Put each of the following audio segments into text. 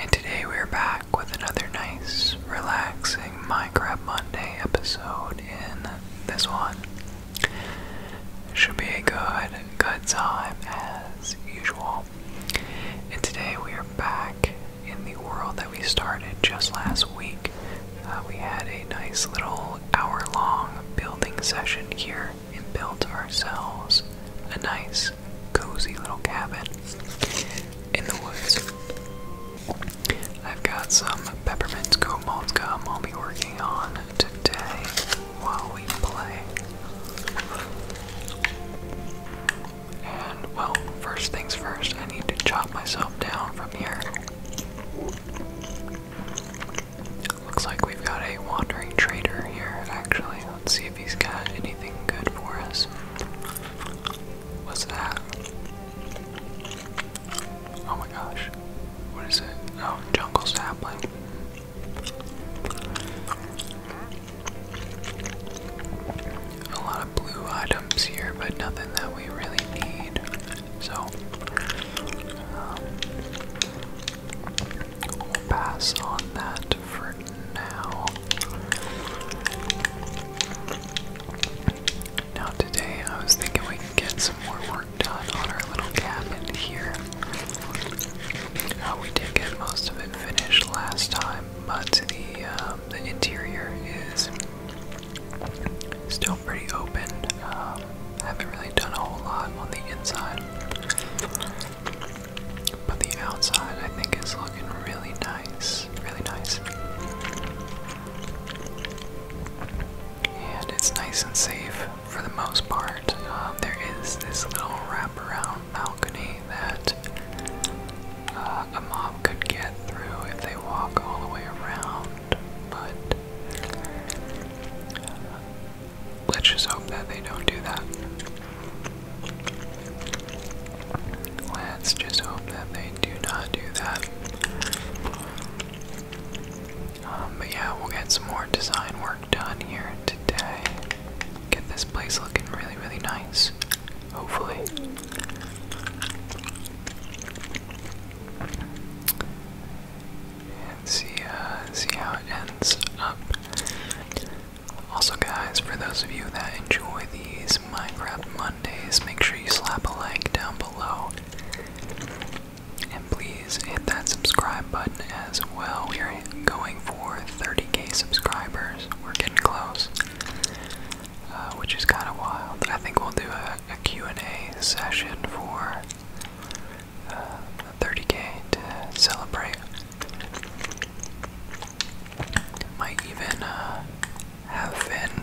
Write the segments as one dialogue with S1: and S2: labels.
S1: And today we're back with another nice, relaxing Minecraft Monday episode. In this one, should be a good, good time as usual. And today we are back in the world that we started just last week. Uh, we had a nice little hour long building session here and built ourselves a nice, cozy little cabin in the woods. I've got some peppermint goat malt gum I'll be working on today while we play. And well, first things first, I need to chop myself down from here. Looks like we've got a wandering trader here, actually. Let's see if he's got anything good for us. What's that? Oh my gosh. What is it? Oh, jungle sapling. A lot of blue items here, but nothing that we really need. So, um, We'll pass on that for now. Now, today I was thinking we could get some more work done on our little cabin here. Uh, we did get most of it finished last time, but the, um, the interior is still pretty open. I um, haven't really done a whole lot on the inside. But the outside, I think, is looking really nice. Really nice. And it's nice and safe for the most part. Um, there is this little wraparound balcony that uh, a mob could get through if they walk all the way around, but Let's just hope that they don't do that. Let's just hope that they do not do that. Um, but yeah, we'll get some more design work done here today. Get this place looking really, really nice. Hopefully. And see, uh, see how it ends up. Also, guys, for those of you that enjoy these Minecraft Mondays, make sure you slap a like down below. And please hit that subscribe button as well. We are going for 30k subscribers. We're getting close, uh, which is kind of wild. I think we'll do a, Q&A session for 30k uh, to celebrate might even uh, have Finn,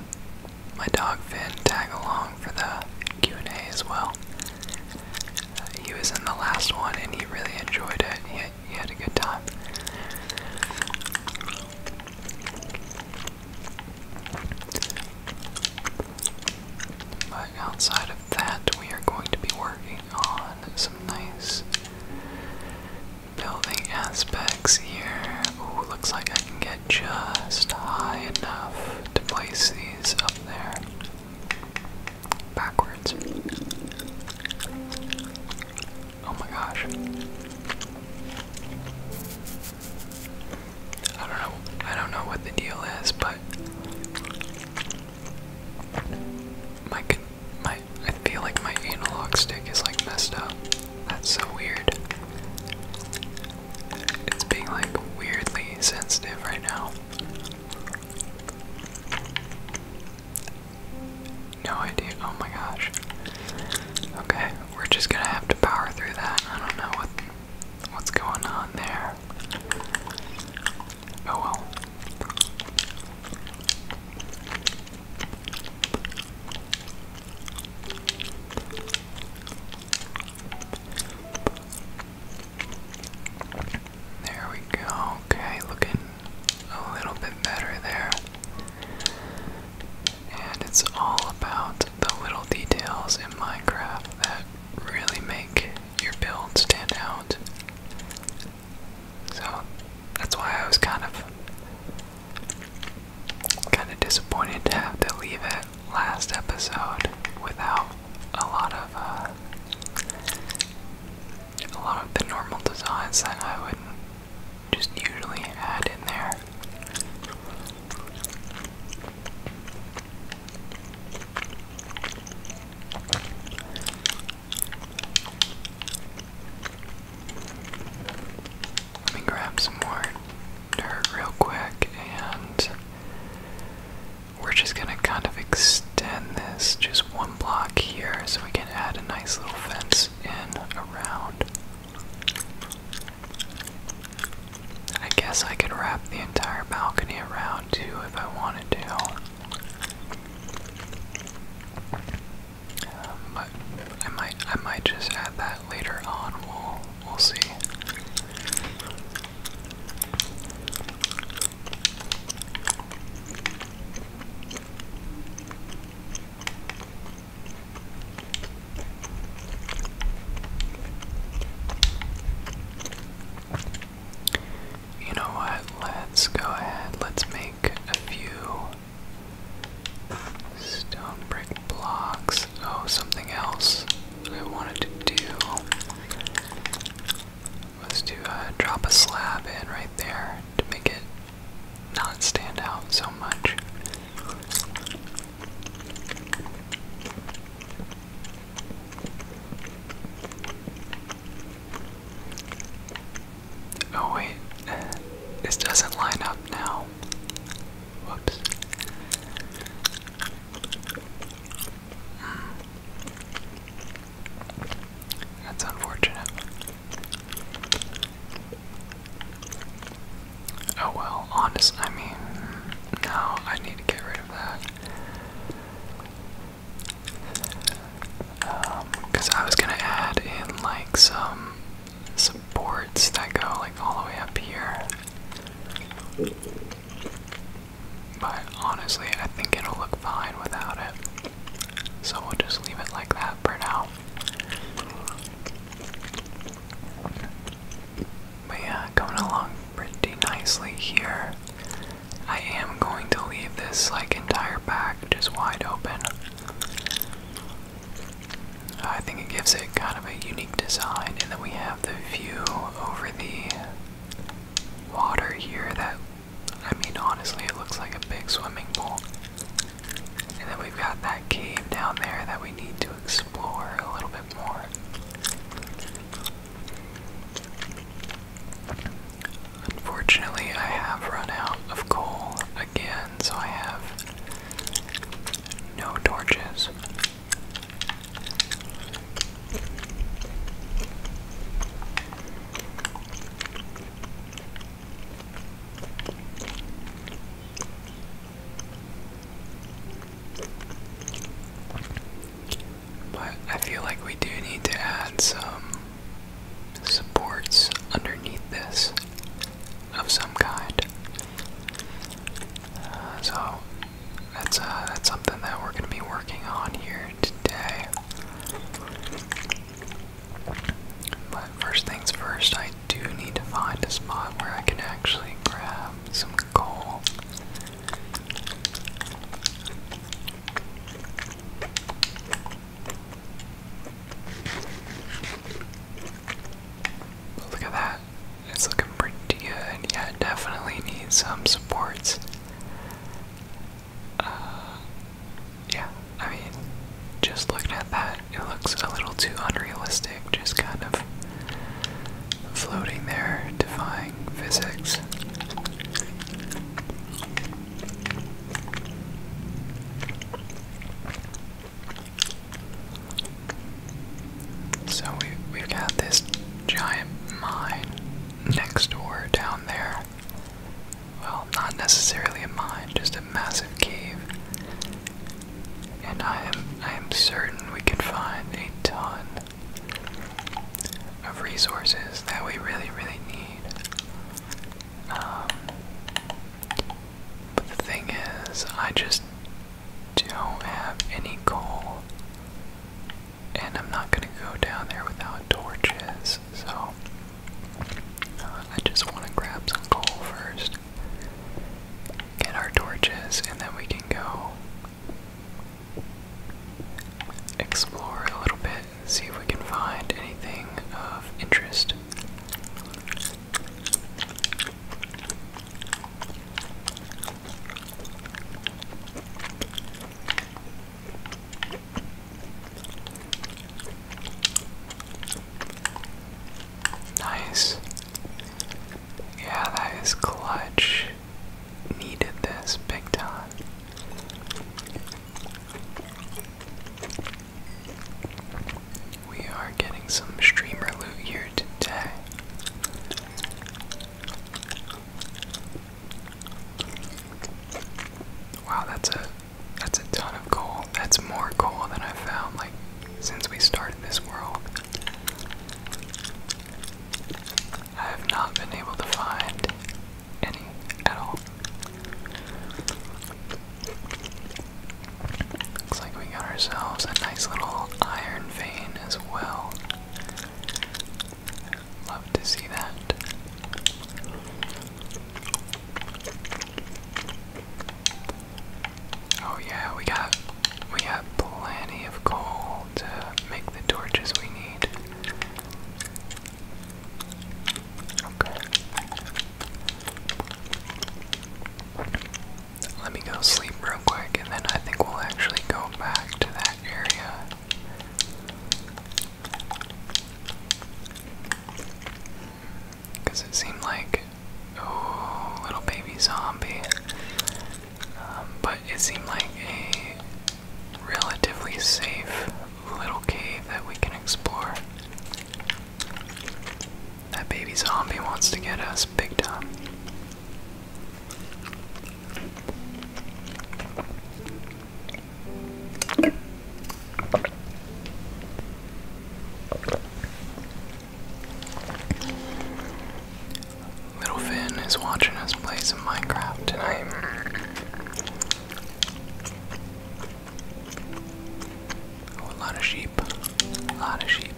S1: my dog Finn, tag along for the Q&A as well. Uh, he was in the last one and he really enjoyed it. He had, he had a good time. But outside of that, we are going to be working on some nice Building aspects here. Ooh, looks like I can get just high enough to place these up there. Backwards. Oh my gosh. I don't know. I don't know what the deal is, but my my I feel like my analog stick is like messed up. That's so weird. It's being like weirdly sensitive right now. No idea. Oh my gosh. Okay, we're just gonna have to power through that. I don't know what what's going on there. Oh well. There we go. Okay, looking a little bit better there. And it's all about the little details in Minecraft that really make your build stand out. So that's why I was kind of kind of disappointed to have to leave it last episode without a lot of uh, a lot of the normal designs that I would just usually add in there. Let me grab some more dirt real quick, and we're just gonna kind of extend this just one block here so we can add a nice little fence in around. I guess I could wrap the entire balcony around too if I wanted to. Um, I might, I might just add that later on. We'll, we'll see. You know what? Let's go ahead. Let's make a few stone brick blocks. Oh, something else I wanted to do was to uh, drop a slab in right there to make it not stand out so much. Oh wait, this doesn't line up now. Whoops. That's unfortunate. Oh well, honest, I mean, no, I need to get rid of that. Because um, I was gonna add in like some supports that go like all the way up here. But honestly, I think it'll look fine without it. So we'll just leave it like that for now. But yeah, coming along pretty nicely here. I am going to leave this like entire pack just wide open. I think it gives it kind of a unique design, and then we have the view over the water here that, I mean, honestly, it looks like a big swimming pool. And then we've got that cave down there that we need to explore a little bit more. Unfortunately, I have run out of coal again, so I have no torches. But I feel like we do need to add some supports underneath this of some kind. Uh, so that's uh, that's something that we're going to be working on here today. But first things first, I do need to find a spot where I can actually grab some coal. Look at that. It's looking pretty good. Yeah, it definitely needs some supports. Uh, yeah, I mean, just looking at that, it looks a little too unrealistic, just kind of floating there, defying physics. So we we've got this giant mine next door down there. Well, not necessarily a mine, just a massive cave. And I am I am certain we could find a ton of resources that we really, really need. Um, but the thing is, I just don't have any coal, and I'm not gonna go down there without torches, so uh, I just wanna grab some coal first, get our torches, and then we can go explore a little bit see if we can find anything of interest. Nice. Yeah, that is clutch. Needed this big time. We are getting some streamer loot here today. Wow, that's a that's a ton of coal. That's more coal than I've found like since we started this world. I have not been able to find any at all. Looks like we got ourselves a nice little iron vein as well. Love to see that. Oh yeah, we got we got plenty of coal to make the torches we need. Okay. Let me go sleep real quick and then I think we'll actually go back to that area. Because it seemed like. a oh, little baby zombie. Um, but it seemed like a relatively safe little cave that we can explore. That baby zombie wants to get us big time. Little Finn is watching us play some Minecraft tonight. Oh, a lot of sheep. A lot of sheep.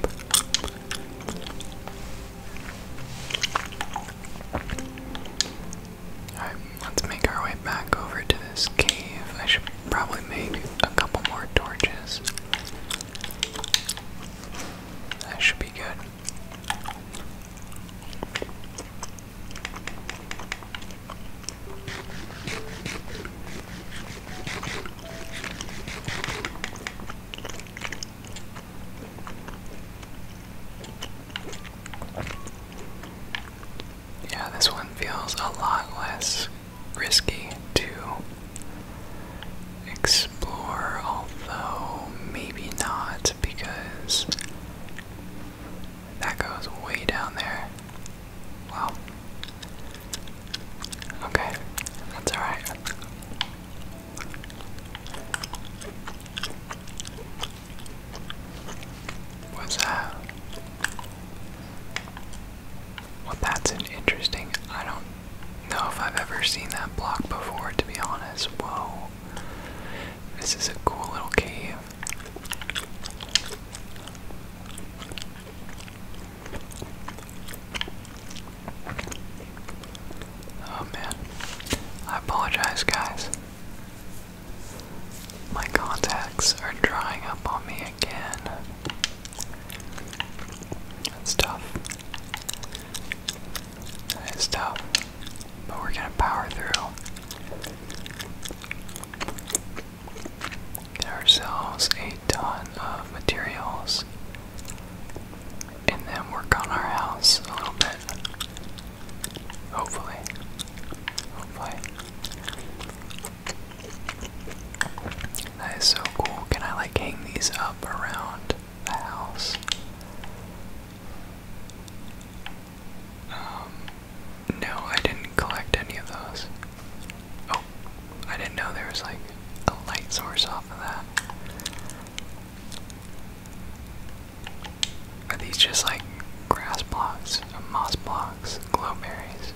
S1: Alright, let's make our way back over to this cave. I should probably make a couple more torches. That should be good. Yeah, this one feels a lot less risky to explore, although maybe not because that goes way down there. Wow. Okay, that's alright. What's that? Well, that's an interesting. I don't know if I've ever seen that block before, to be honest. Whoa. This is a cool little cave. Oh man. I apologize, guys. My contacts are drying up on me again. That's tough. That is tough. But we're gonna power through ourselves a ton of materials and then work on our house a little bit. Hopefully. Hopefully. That is so cool. Can I like hang these up around the house? Um, no, I didn't collect any of those. Oh, I didn't know there was like a light source off of that. Are these just like grass blocks, moss blocks, glowberries?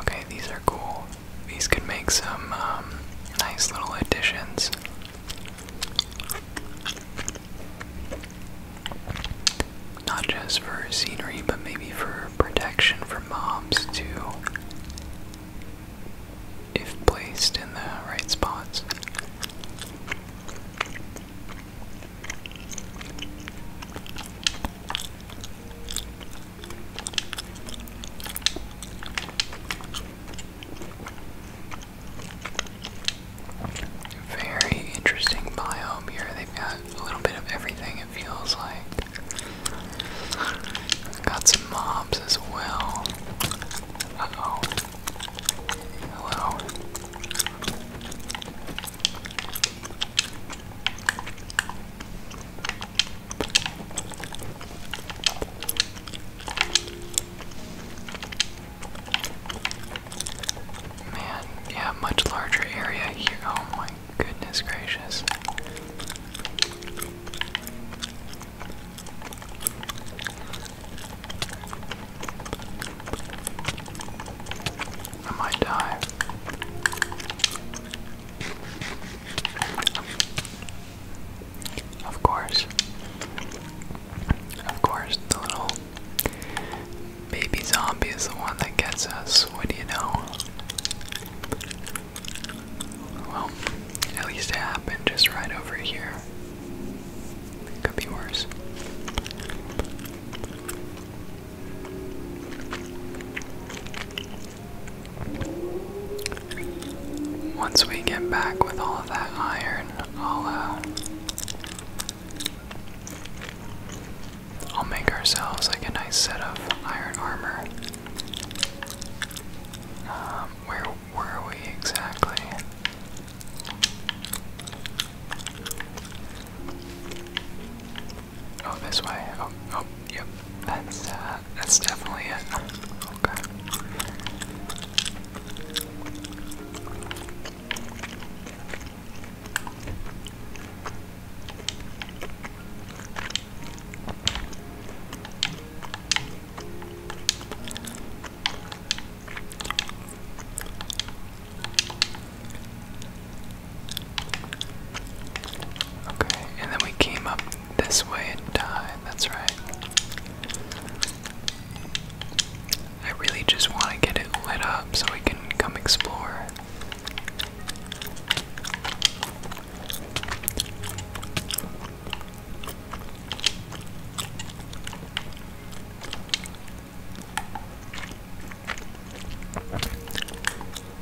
S1: Okay, these are cool. These could make some um, nice little additions not just for scenery, but maybe for protection from mobs too, if placed in the right spots. Very interesting biome here. They've got a little bit of everything, it feels like. Got some mobs as well. Uh Hello. Man, yeah, much larger area here. Oh my goodness gracious. I might die. Of course. Of course, the little baby zombie is the one that gets us. What do you know? Well, at least it happened just right over here. It could be worse. Once we get back with all that iron, I'll uh, I'll make ourselves like a nice set of iron armor. Um, where were we exactly? Oh, this way. Oh, oh, yep. That's uh, that's definitely it. Okay. Okay, and then we came up this way and died, that's right. I really just want to get it lit up so we can come explore.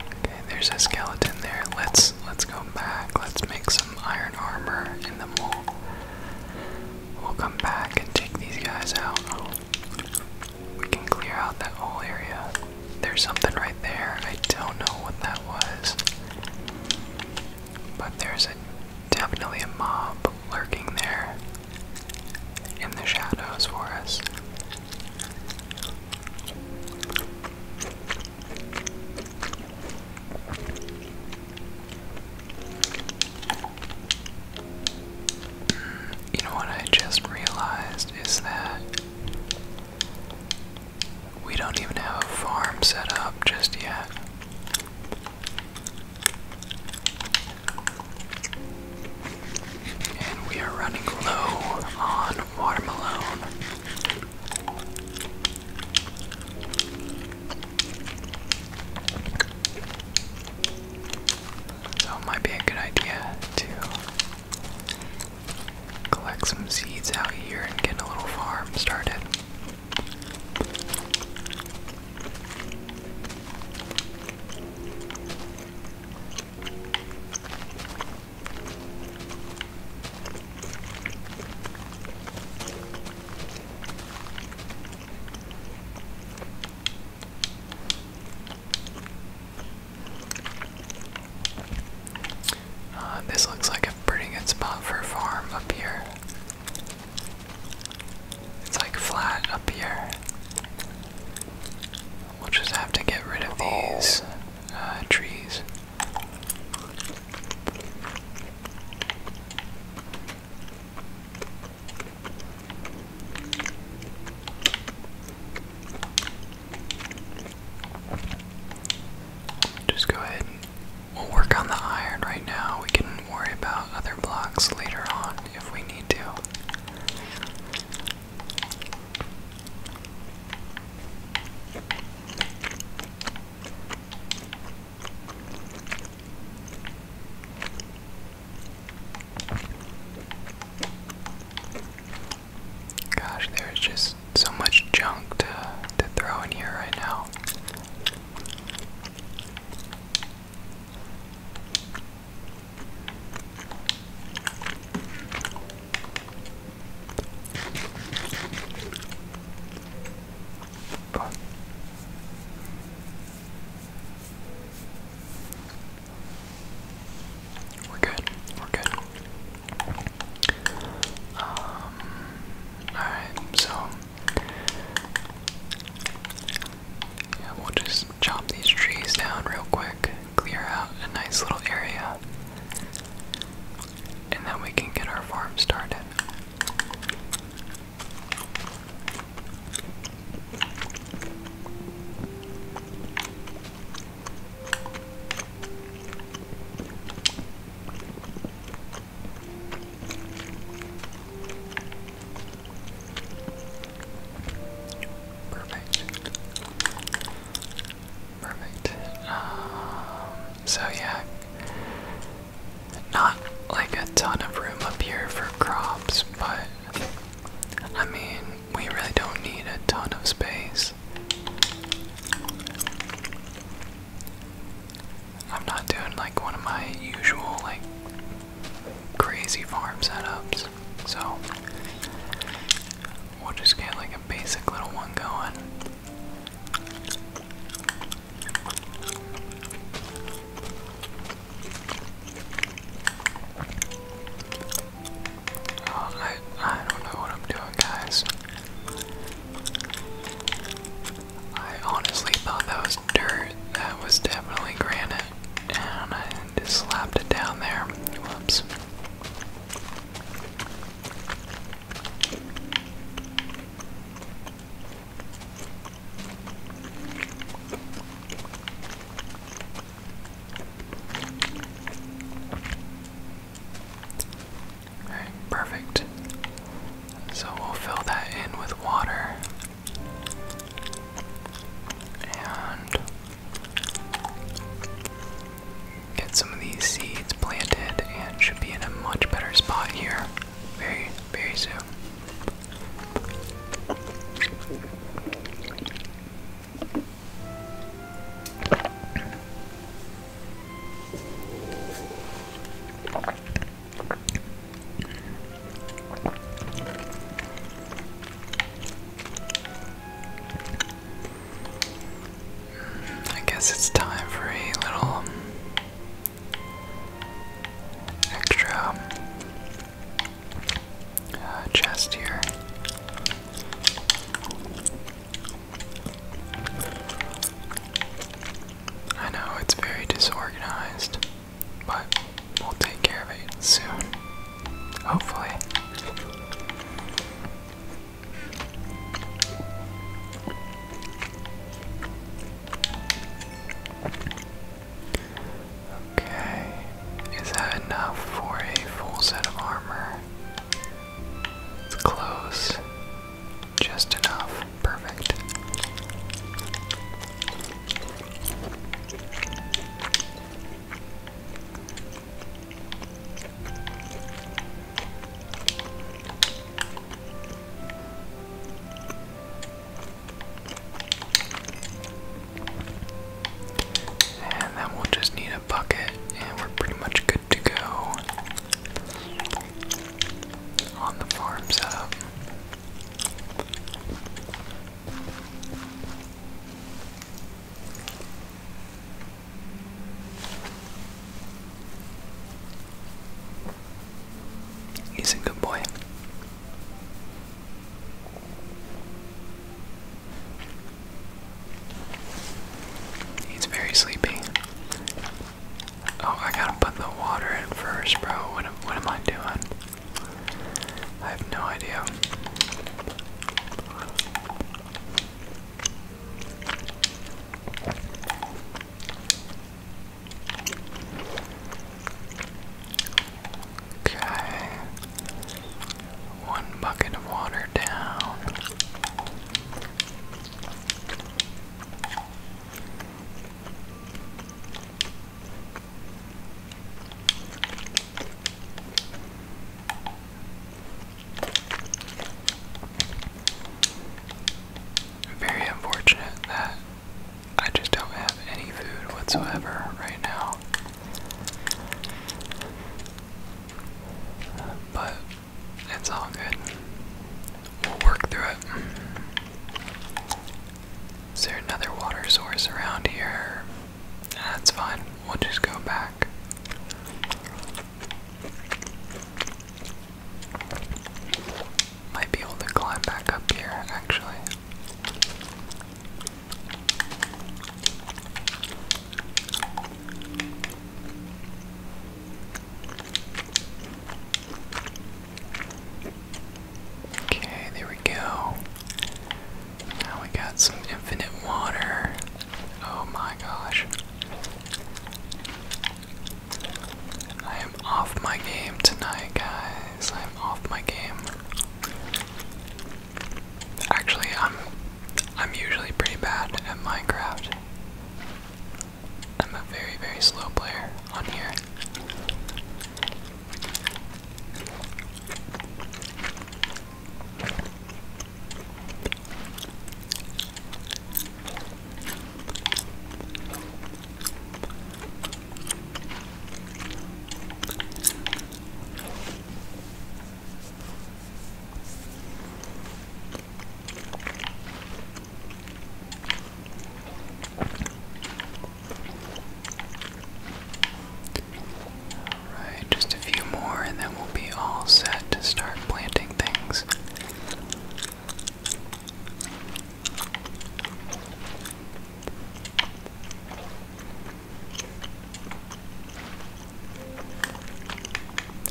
S1: Okay, there's a skeleton there. Let's let's go back. Let's make some iron armor in the we We'll come back and take these guys out. We can clear out that whole area. There's something right there. I don't know what that was. But there's definitely a mob lurking there in the shadows for us. You know what I just realized is that we don't even have a farm set up just yet. And we are running low on watermelon. So it might be a good idea to collect some seeds out here and get a little farm started. Uh, this looks like a pretty good spot for a farm up here. It's like flat up here. We'll just have to get rid of these oh. uh, trees. Just go ahead we'll work on the iron right now. We can worry about other blocks later on if we need to. Gosh, there's just so much junk to, to throw in here right now. We're good. We're good. Um, alright, so. Yeah, we'll just chop these trees down real quick, clear out a nice little area, and then we can get our farm started. Perfect. Perfect. Um, so yeah, not like a ton of room up here for crops, but I mean, we really don't need a ton of space. I'm not doing like one of my usual, like, crazy farm setups, so we'll just get like a basic little one going. Oh, I, I don't know what I'm doing, guys. I honestly thought that was dirt. That was definitely granite. And I just slapped it down there. Whoops perfect. So we'll fill that in with water. And get some of these seeds planted and should be in a much better spot here very, very soon. I guess it's time for a little extra um, uh, chest here. I know it's very disorganized, but we'll take care of it soon. Hopefully. Okay, is that enough for a full set of armor? It's close. Just enough. Perfect. And then we just need a bucket, and we're pretty much good to go on the farm setup. He's a good boy. He's very sleepy. Oh, I gotta put the water in first, bro. What, what am I doing? I have no idea. Okay. One bucket of water down. Very unfortunate that I just don't have any food whatsoever right now. But it's all good. We'll work through it. Is there another water source around here? That's fine. We'll just go back. Might be able to climb back up here, actually. Okay, there we go. Now we got some infinite water. Oh my gosh. I I'm off my game tonight, guys. I'm off my game. Actually, I'm I'm usually pretty bad at Minecraft. I'm a very, very slow player on here. Alright, just a few more, and then we'll be all set to start planting things.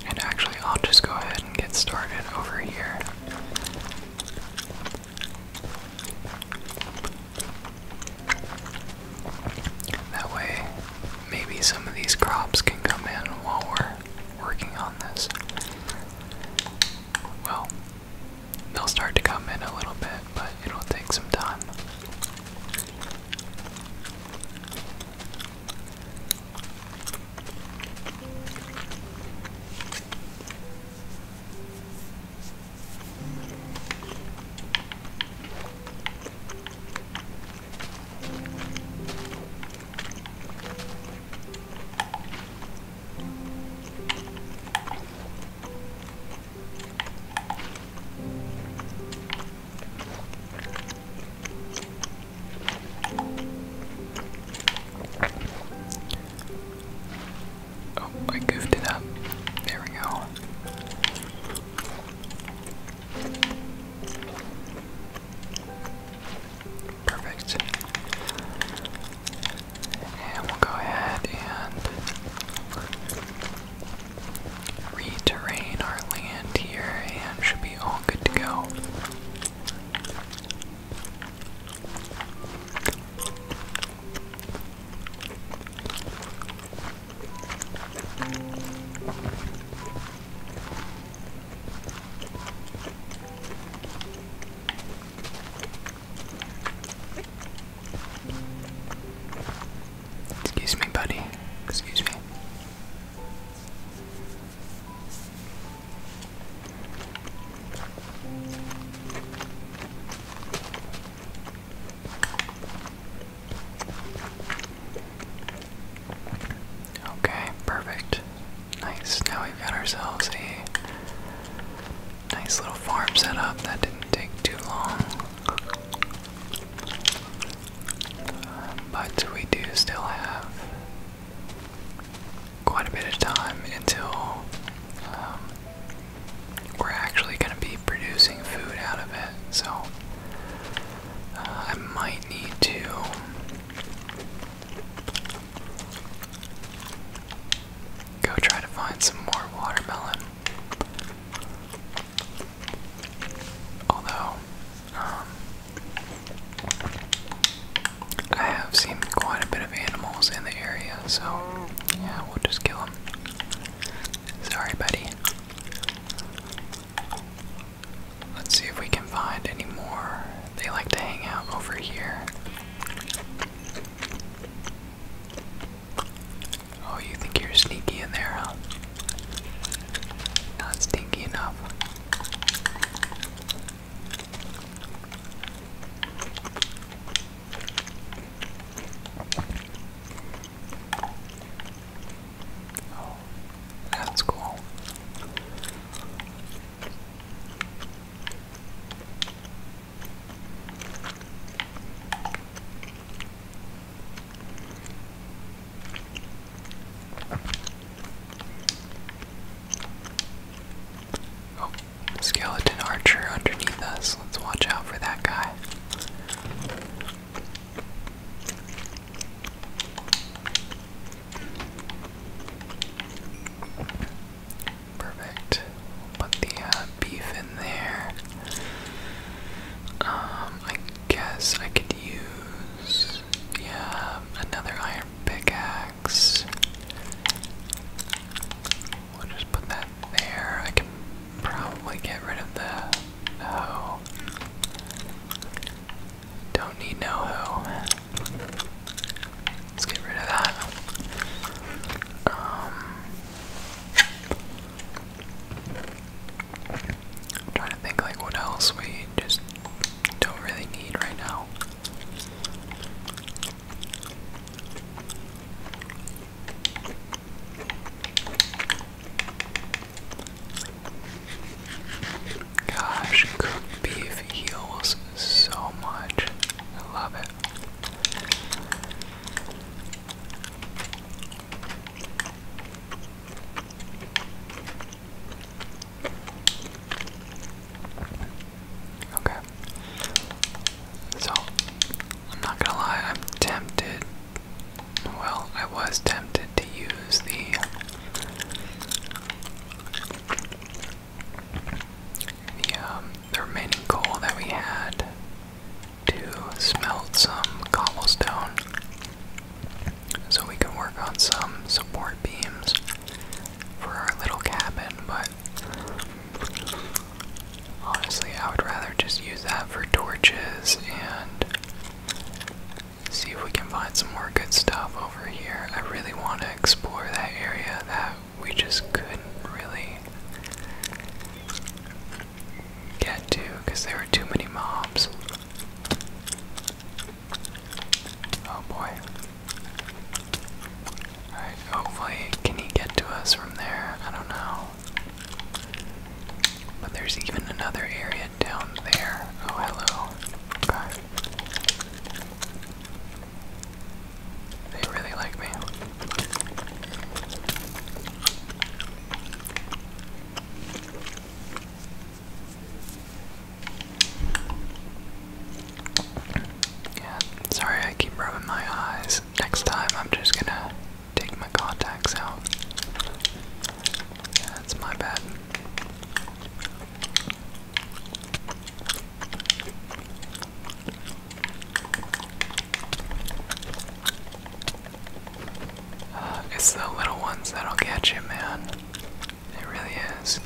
S1: And actually, I'll just go ahead and get started over here. That way, maybe some of these crops can come in while we're working on this. Well, They'll start to come in a little bit, but it'll take some time. Oh, I goofed it up. There we go. Perfect. And we'll go ahead and reterrain our land here and should be all good to go. Excuse me, buddy. Excuse me. Okay, perfect. Nice. Now we've got ourselves a Nice little farm set up. That didn't take too long. Um, but we do still have quite a bit of time until um, we're actually going to be producing food out of it. So uh, I might need to Go try to find some more watermelon. Although, um, I have seen quite a bit of animals in the area, so yeah, we'll just kill them. Sorry, buddy. Let's see if we can find any more. They like to hang out over here. Oh, you think you're sneaky in there, huh? Not stinky enough. Oh, that's cool. Oh, skeleton archer underneath us. Let's watch out for that guy. Perfect. put the uh, beef in there. Um, I guess I could use yeah another iron pickaxe. We'll just put that there. I can probably get rid of the hoe. Don't need no hoe. Let's get rid of that. Um, I'm trying to think like what else we just don't really need right now. Gosh, cooked beef heals so much. I love it. Okay. So, I'm not gonna lie, I'm tempted. Well, I was tempted to use the the um the remaining goal that we had to smelt some cobblestone so we can work on some support beams for our little cabin, but honestly, I would rather just use that for torches and see if we can find some more good stuff over here. I really want to explore that area that we just couldn't really get to because there were too many mobs. Oh boy. Alright, hopefully, can he get to us from there? I don't know. But there's even another area down there. Oh, hello. Okay. They really like me. Yeah, sorry I keep rubbing my eyes. Next time I'm just gonna take my contacts out. Yeah, that's my bad it's the little ones that'll catch you, man. It really is.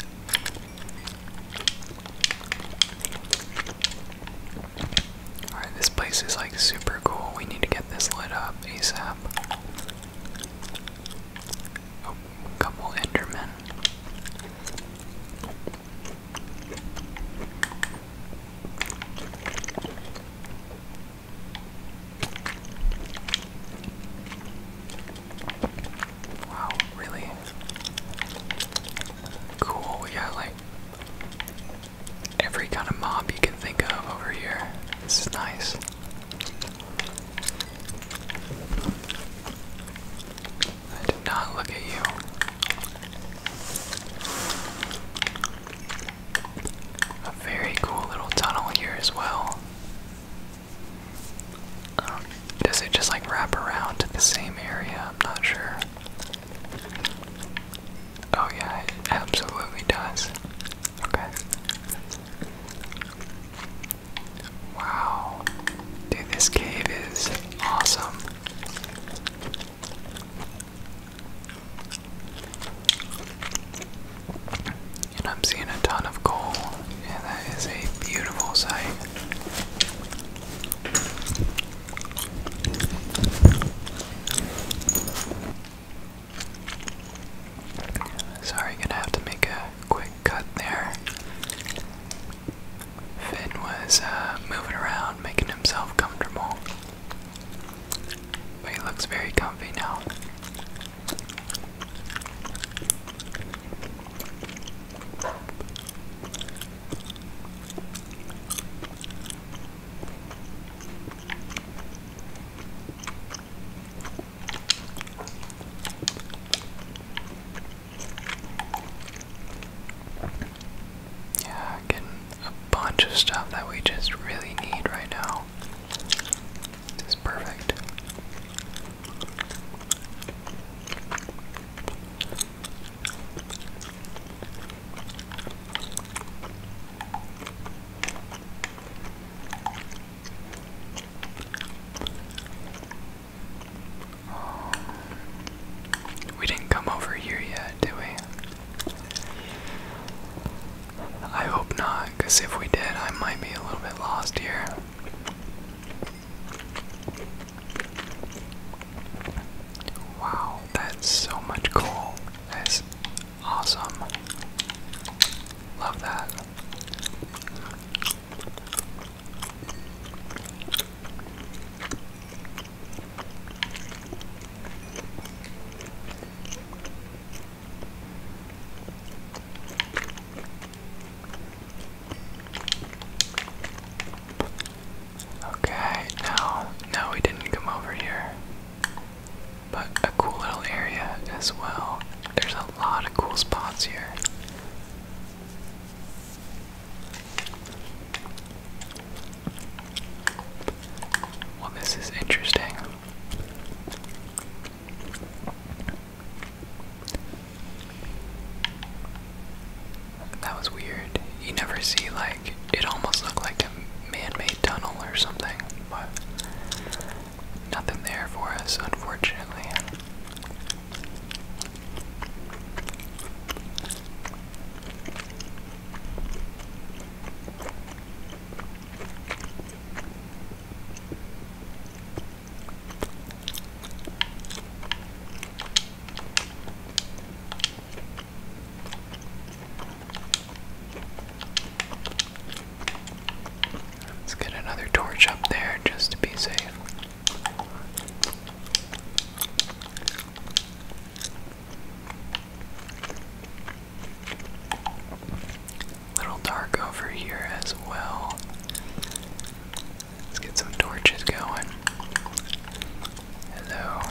S1: this place is like super cool. We need to get this lit up ASAP. Oh, couple Endermen. Wow, really cool. We got like every kind of mob you can think of over here. This is nice. I did not look at you. A very cool little tunnel here as well. Um, does it just like wrap around to the same area? I'm not sure. Oh, yeah, it absolutely does. Okay. Wow. Dude, this cave is awesome. And I'm seeing a ton of coal, and that is a beautiful sight. Sorry, gonna have to make a quick cut there. Finn was uh, moving around, making himself comfortable. But he looks very comfy now. Yeah, getting a bunch of stuff that we just really need right now. This is perfect. Um, we didn't come over here yet, did we? I hope not, because if we did, I might be a little bit lost here. Wow, that's so much cool! That's awesome. Love that. Okay, no, no, we didn't come over here. But a cool little area as well. There's a lot of cool spots here. Well, this is interesting. That was weird. You never see, like, it almost looked like a man made tunnel or something, but nothing there for us, unfortunately. Let's get another torch up there just to be safe. Little dark over here as well. Let's get some torches going. Hello.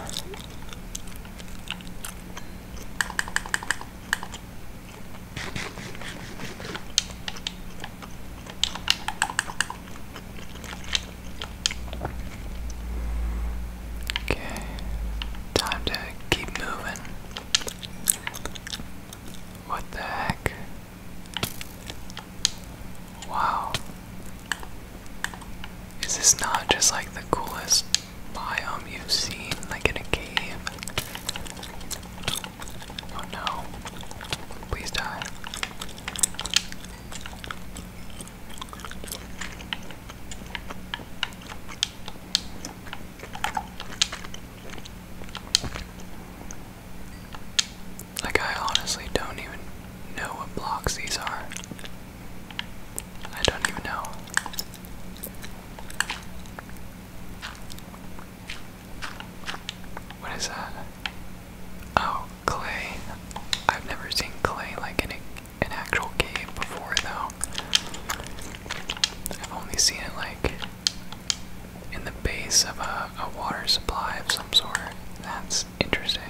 S1: Okay, time to keep moving. What the heck? Wow. Is this not just like the coolest biome you've seen, like in a cave? Oh no. Please die. Like, I honestly don't even know what blocks these are. I don't even know. What is that? Oh, clay. I've never seen clay like in an actual game before, though. I've only seen it like in the base of a, a water supply of some sort. That's interesting.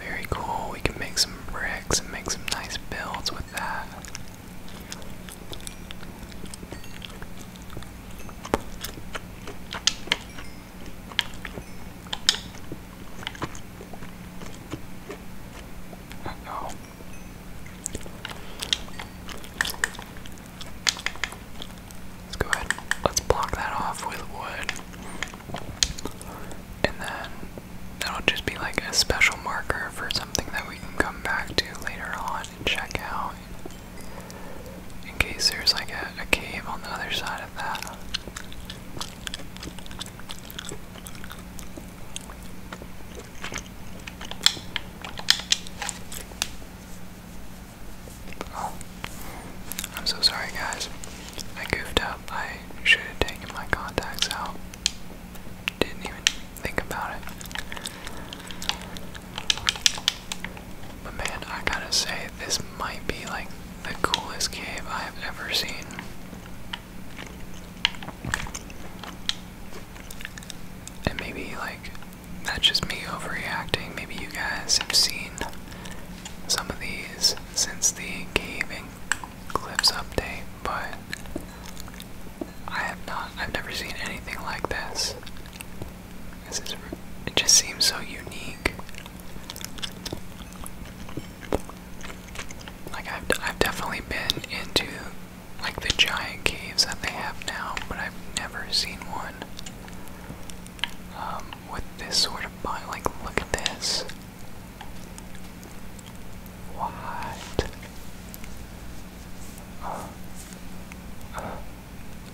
S1: Very cool. We can make some bricks and make some nice builds with that. Uh oh. Let's go ahead. Let's block that off with wood. And then that'll just be like a special marker for something that we can come back to later on and check out in case there's like a, cave on the other side of that. Oh, I'm so sorry, guys. I goofed up. I should have taken my contacts out. Didn't even think about it. But man, I gotta say, this might be like the coolest cave I have ever seen. And maybe, like, that's just me overreacting. Maybe you guys have seen some of these since the gaming clips update, but I have not. I've never seen anything like this it just seems so unique. Like I've, I've definitely been into like the giant caves that they have now, but I've never seen one um, with this sort of body. Like look at this. What?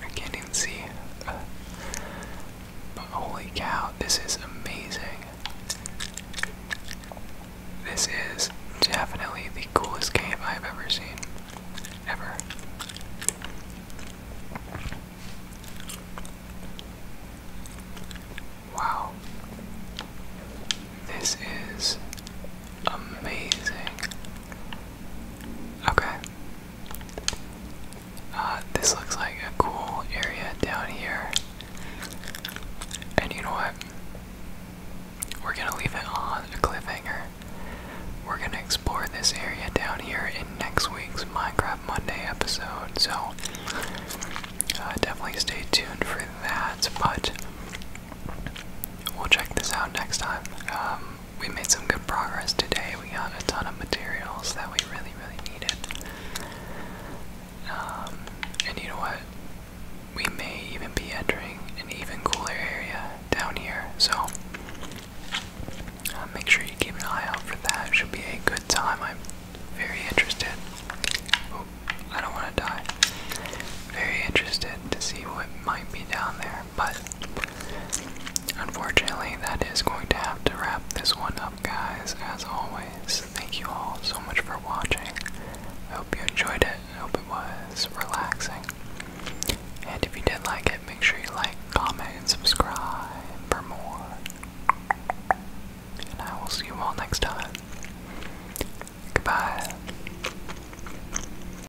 S1: I can't even see. but holy cow, this is amazing. This is definitely the coolest game I've ever seen. Ever. Wow. This is amazing. Okay. Uh, this looks like a cool area down here. And you know what? We're gonna leave it on a cliffhanger. We're gonna explore this area down here in next week's Minecraft Monday episode, so uh, definitely stay tuned for that. But we'll check this out next time. Um, we made some good progress today. We got a ton of materials that we really, really needed. Um, and you know what? We may even be entering an even cooler area down here, so uh, make sure you keep an eye out for that. It should be a good time. I'm very interested. Oh, I don't want to die. Very interested to see what might be down there, but Unfortunately, that is going to have to wrap this one up, guys. As always, thank you all so much for watching. I hope you enjoyed it. I hope it was relaxing. And if you did like it, make sure you like, comment, and subscribe for more. And I will see you all next time. Goodbye.